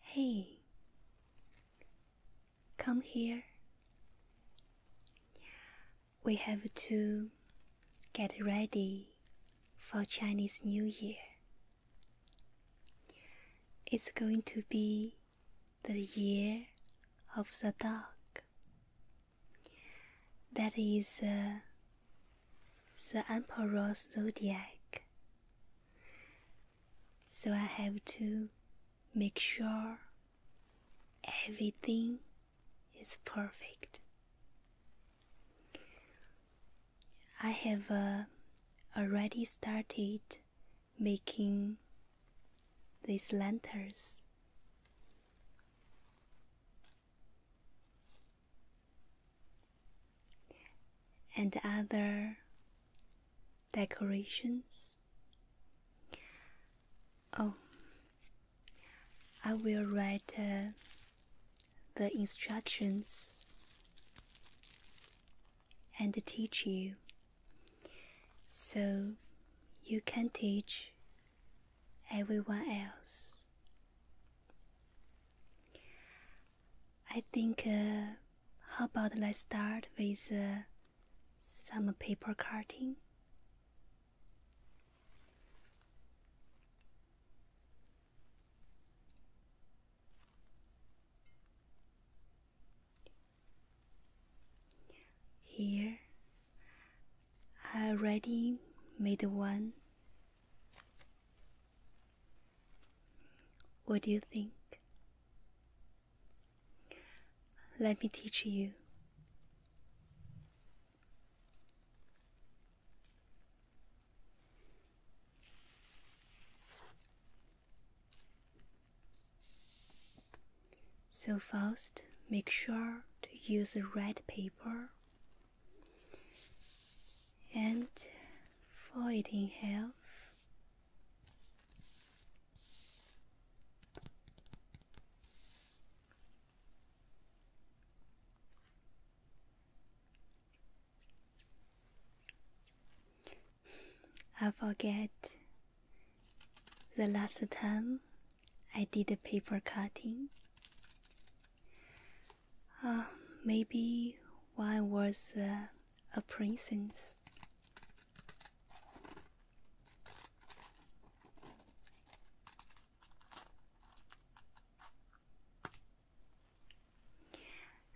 Hey, come here. We have to get ready for Chinese New Year. It's going to be the year of the dog. That is uh, the Emperor's zodiac so I have to make sure everything is perfect. I have uh, already started making these lanterns and other decorations. Oh, I will write uh, the instructions and teach you so you can teach everyone else. I think, uh, how about let's start with uh, some paper cutting? Here, I already made one. What do you think? Let me teach you. So first, make sure to use a red paper and fold it in half I forget the last time I did a paper cutting. Uh, maybe one was uh, a princess.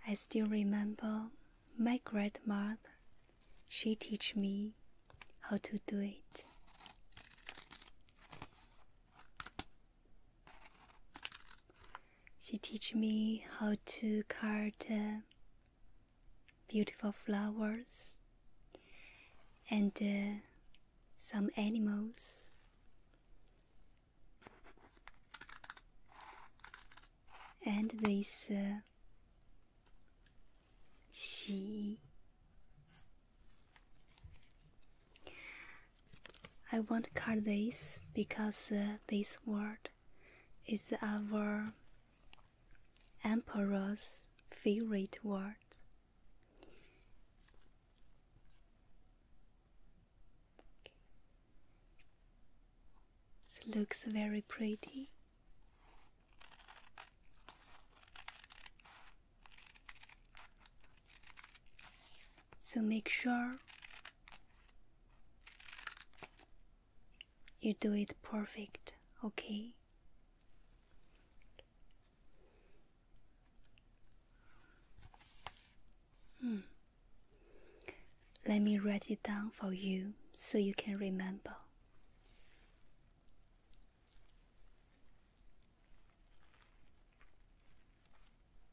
I still remember my grandmother. She teach me how to do it. She teach me how to cut beautiful flowers and uh, some animals. And this uh, I won't cut this because uh, this word is our emperor's favorite word. It looks very pretty. So make sure you do it perfect, okay? Hmm. Let me write it down for you so you can remember.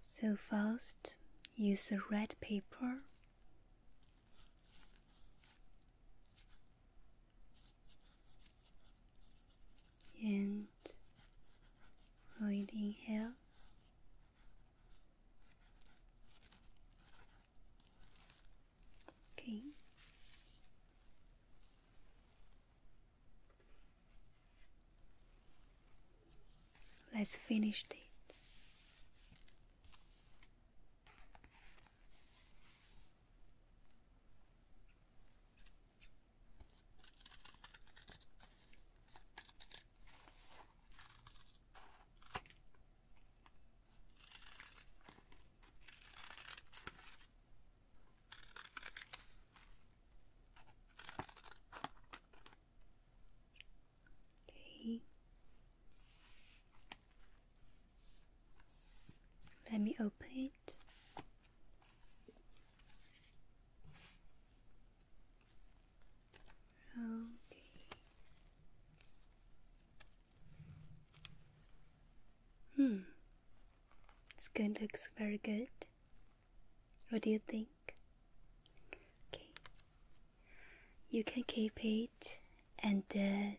So fast. use the red paper. And hold inhale. Okay. Let's finish it. Okay. Let me open it. Okay. Hmm skin looks very good. What do you think? Okay, you can keep it and uh,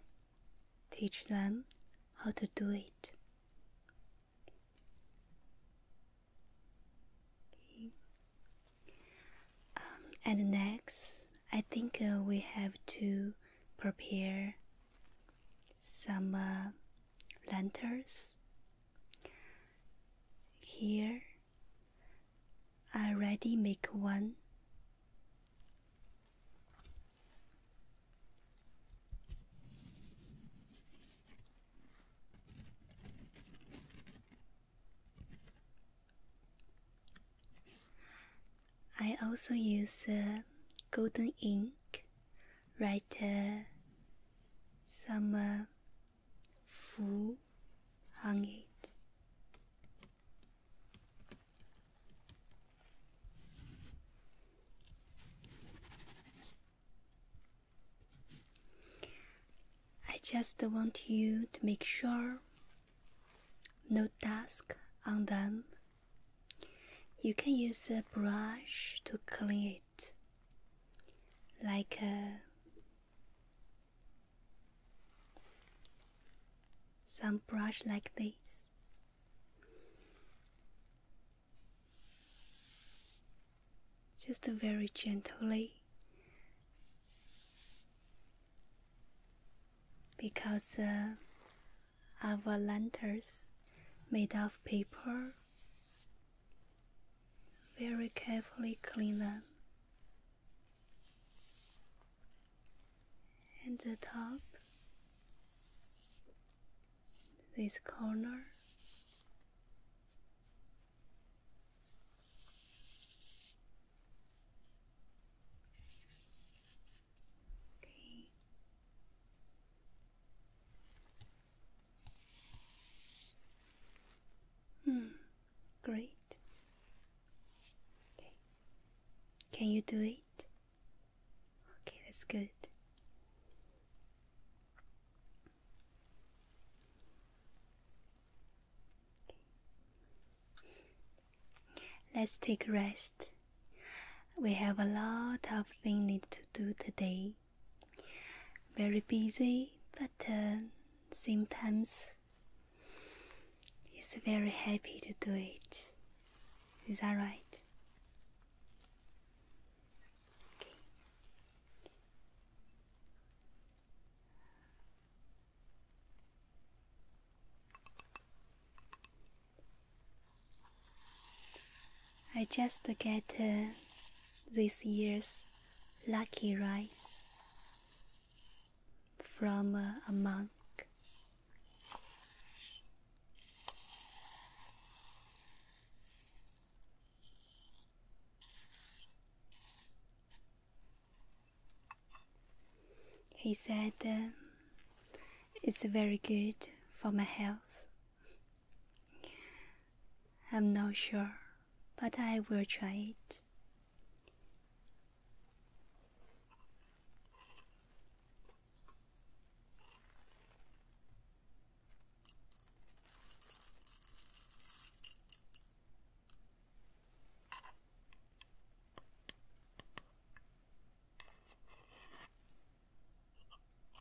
teach them how to do it. Okay. Um, and next, I think uh, we have to prepare some uh, lanterns. Here I already make one. I also use uh, golden ink Right, uh, some uh, foo it. I just want you to make sure no task on them you can use a brush to clean it, like uh, some brush like this. Just very gently, because uh, our lanterns made of paper. Very carefully clean them. And the top, this corner. Okay. Hmm. Great. Okay. Can you do it? Okay, that's good. Let's take a rest. We have a lot of things to do today. Very busy, but uh, sometimes he's very happy to do it. Is that right? I just got uh, this year's lucky rice from uh, a monk. He said uh, it's very good for my health. I'm not sure, but I will try it.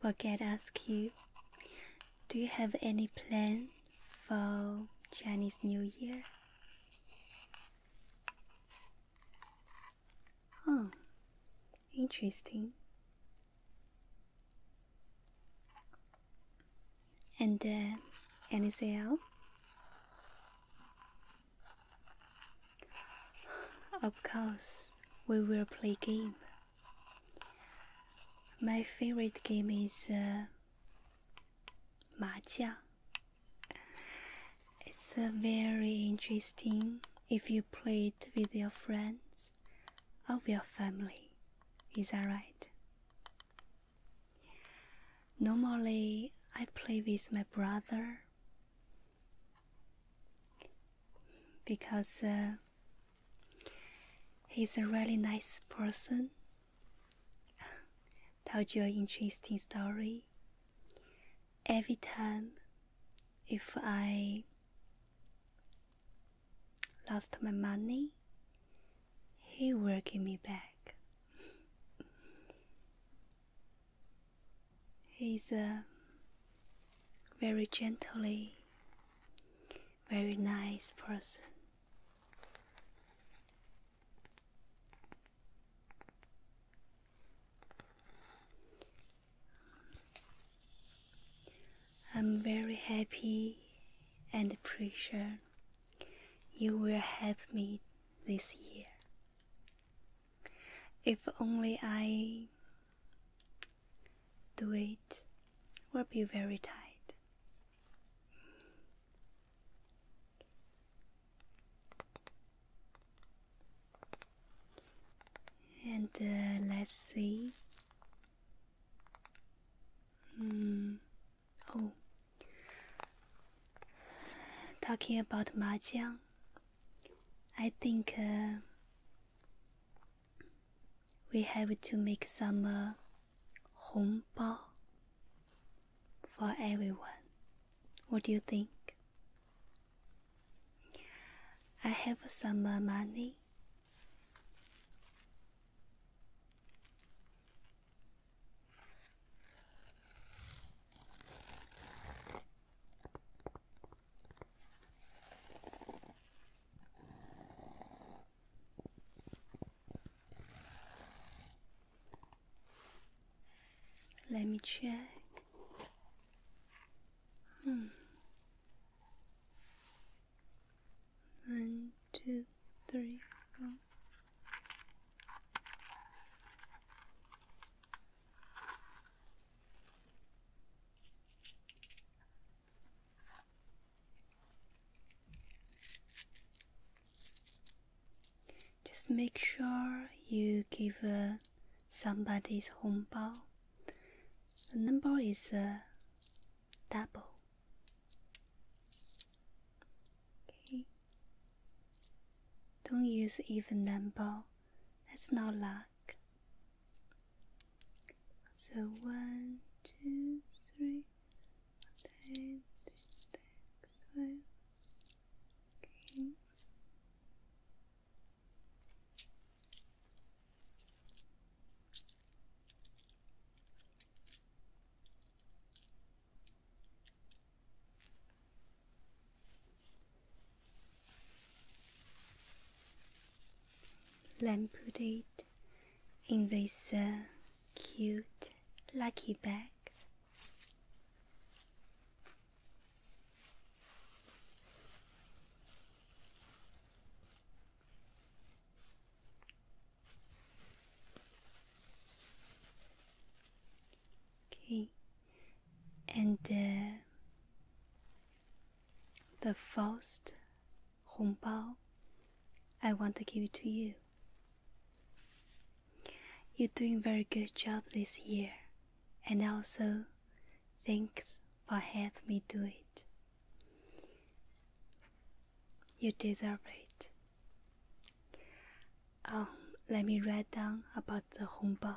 Forget ask you, do you have any plan for Chinese New Year? Oh, interesting. And then, uh, anything else? Of course, we will play game. My favorite game is uh, mahjong. It's uh, very interesting if you play it with your friends or your family. Is that right? Normally, I play with my brother because uh, he's a really nice person. Told you an interesting story. Every time, if I lost my money, he will give me back. He's a uh, very gently, very nice person. I'm very happy and appreciate you will help me this year. If only I do it, will you very tight. And uh, let's see. Mm. Oh, talking about mahjong, I think uh, we have to make some uh, for everyone. What do you think? I have some uh, money. Let me check. Hmm. One, two, three, four. Just make sure you give uh, somebody's hongbao. The number is uh, double. Okay. Don't use even number. That's not luck. So one, two, three, let me put it in this cute lucky bag. Okay, and the first hongbao I want to give it to you. You're doing very good job this year, and also thanks for helping me do it. You deserve it. Um, let me write down about the hongbao.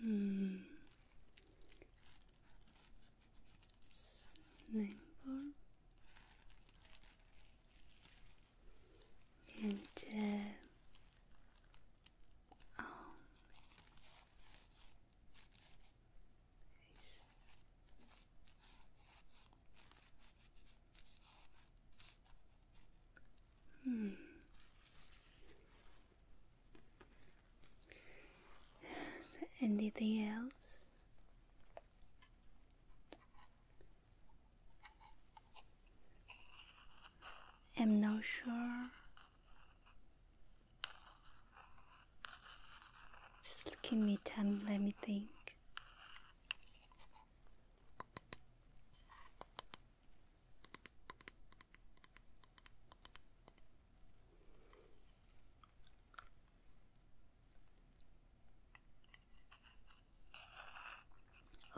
Hmm. Number and oh, Hmm. Is there anything else? I'm not sure. Just give me time, let me think.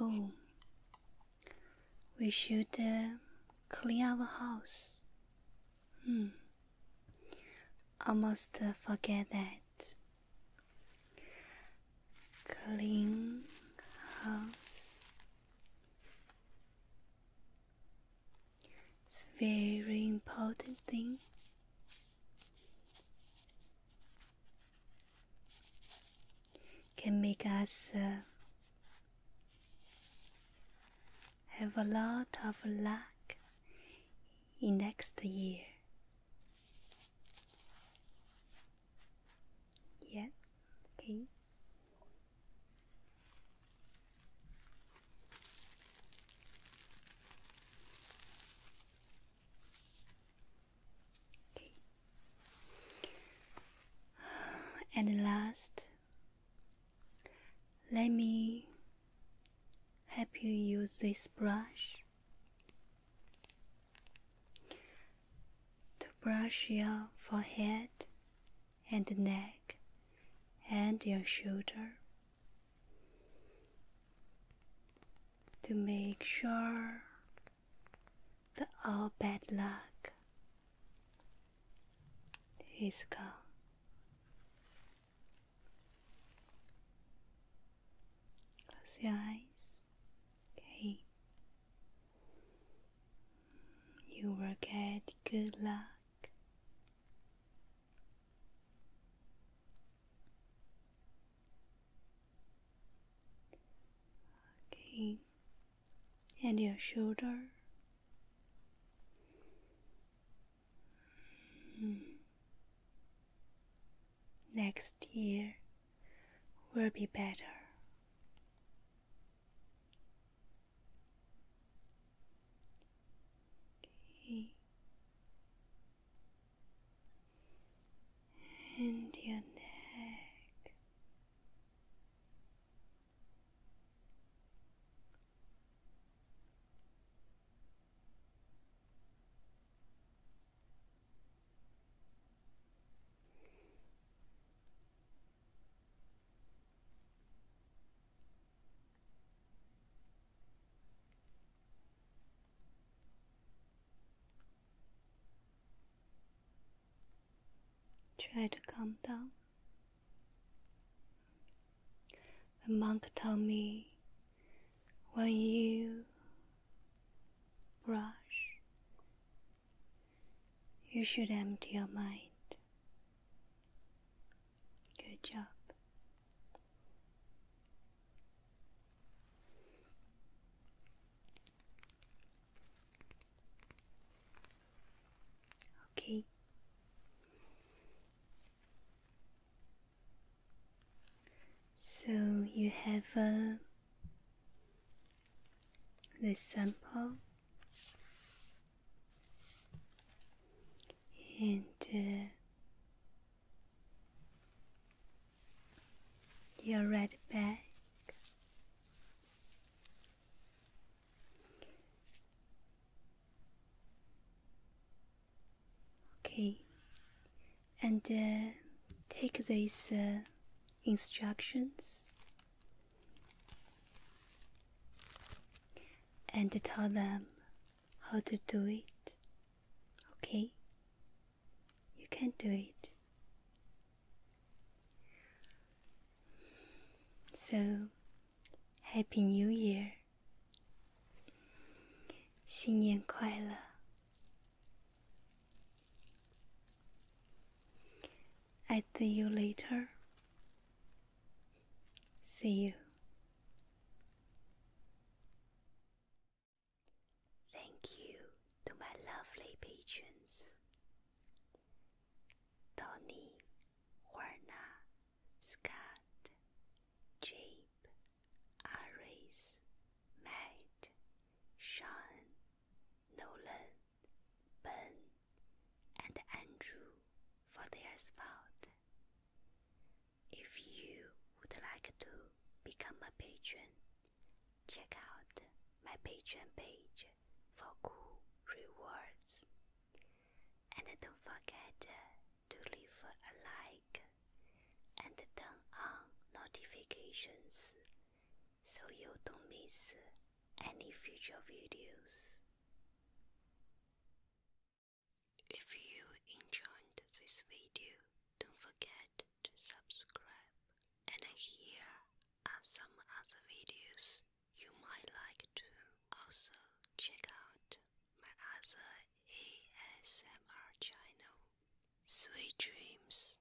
Oh, we should uh, clean our house. Hmm, almost uh, forget that clean house. It's a very important thing. Can make us uh, have a lot of luck in next year. Yeah, okay. Okay. At last, let me help you use this brush to brush your forehead and neck and your shoulder to make sure that all bad luck is gone. Close your eyes. Okay. You will get good luck. Okay. And your shoulder. Hmm next year will be better. And your neck. Try to calm down. The monk told me when you rush." You should empty your mind. Good job. Okay. So you have a this sample into your red bag okay and uh, take this uh, instructions and tell them how to do it. Okay? You can do it. So, Happy New Year! 新年快乐！I'd see you later. See you. Thank you to my lovely patrons Tony, Juana, Scott, Jabe, Aris, Matt, Sean, Nolan, Ben, and Andrew for their support. If you would like to become a patron, check out my Patreon page for cool rewards. And don't forget to leave a like and turn on notifications so you don't miss any future videos. If you enjoyed this video, don't forget to subscribe. And here are some other videos you might like to also check out my other ASMR channel. Sweet dreams.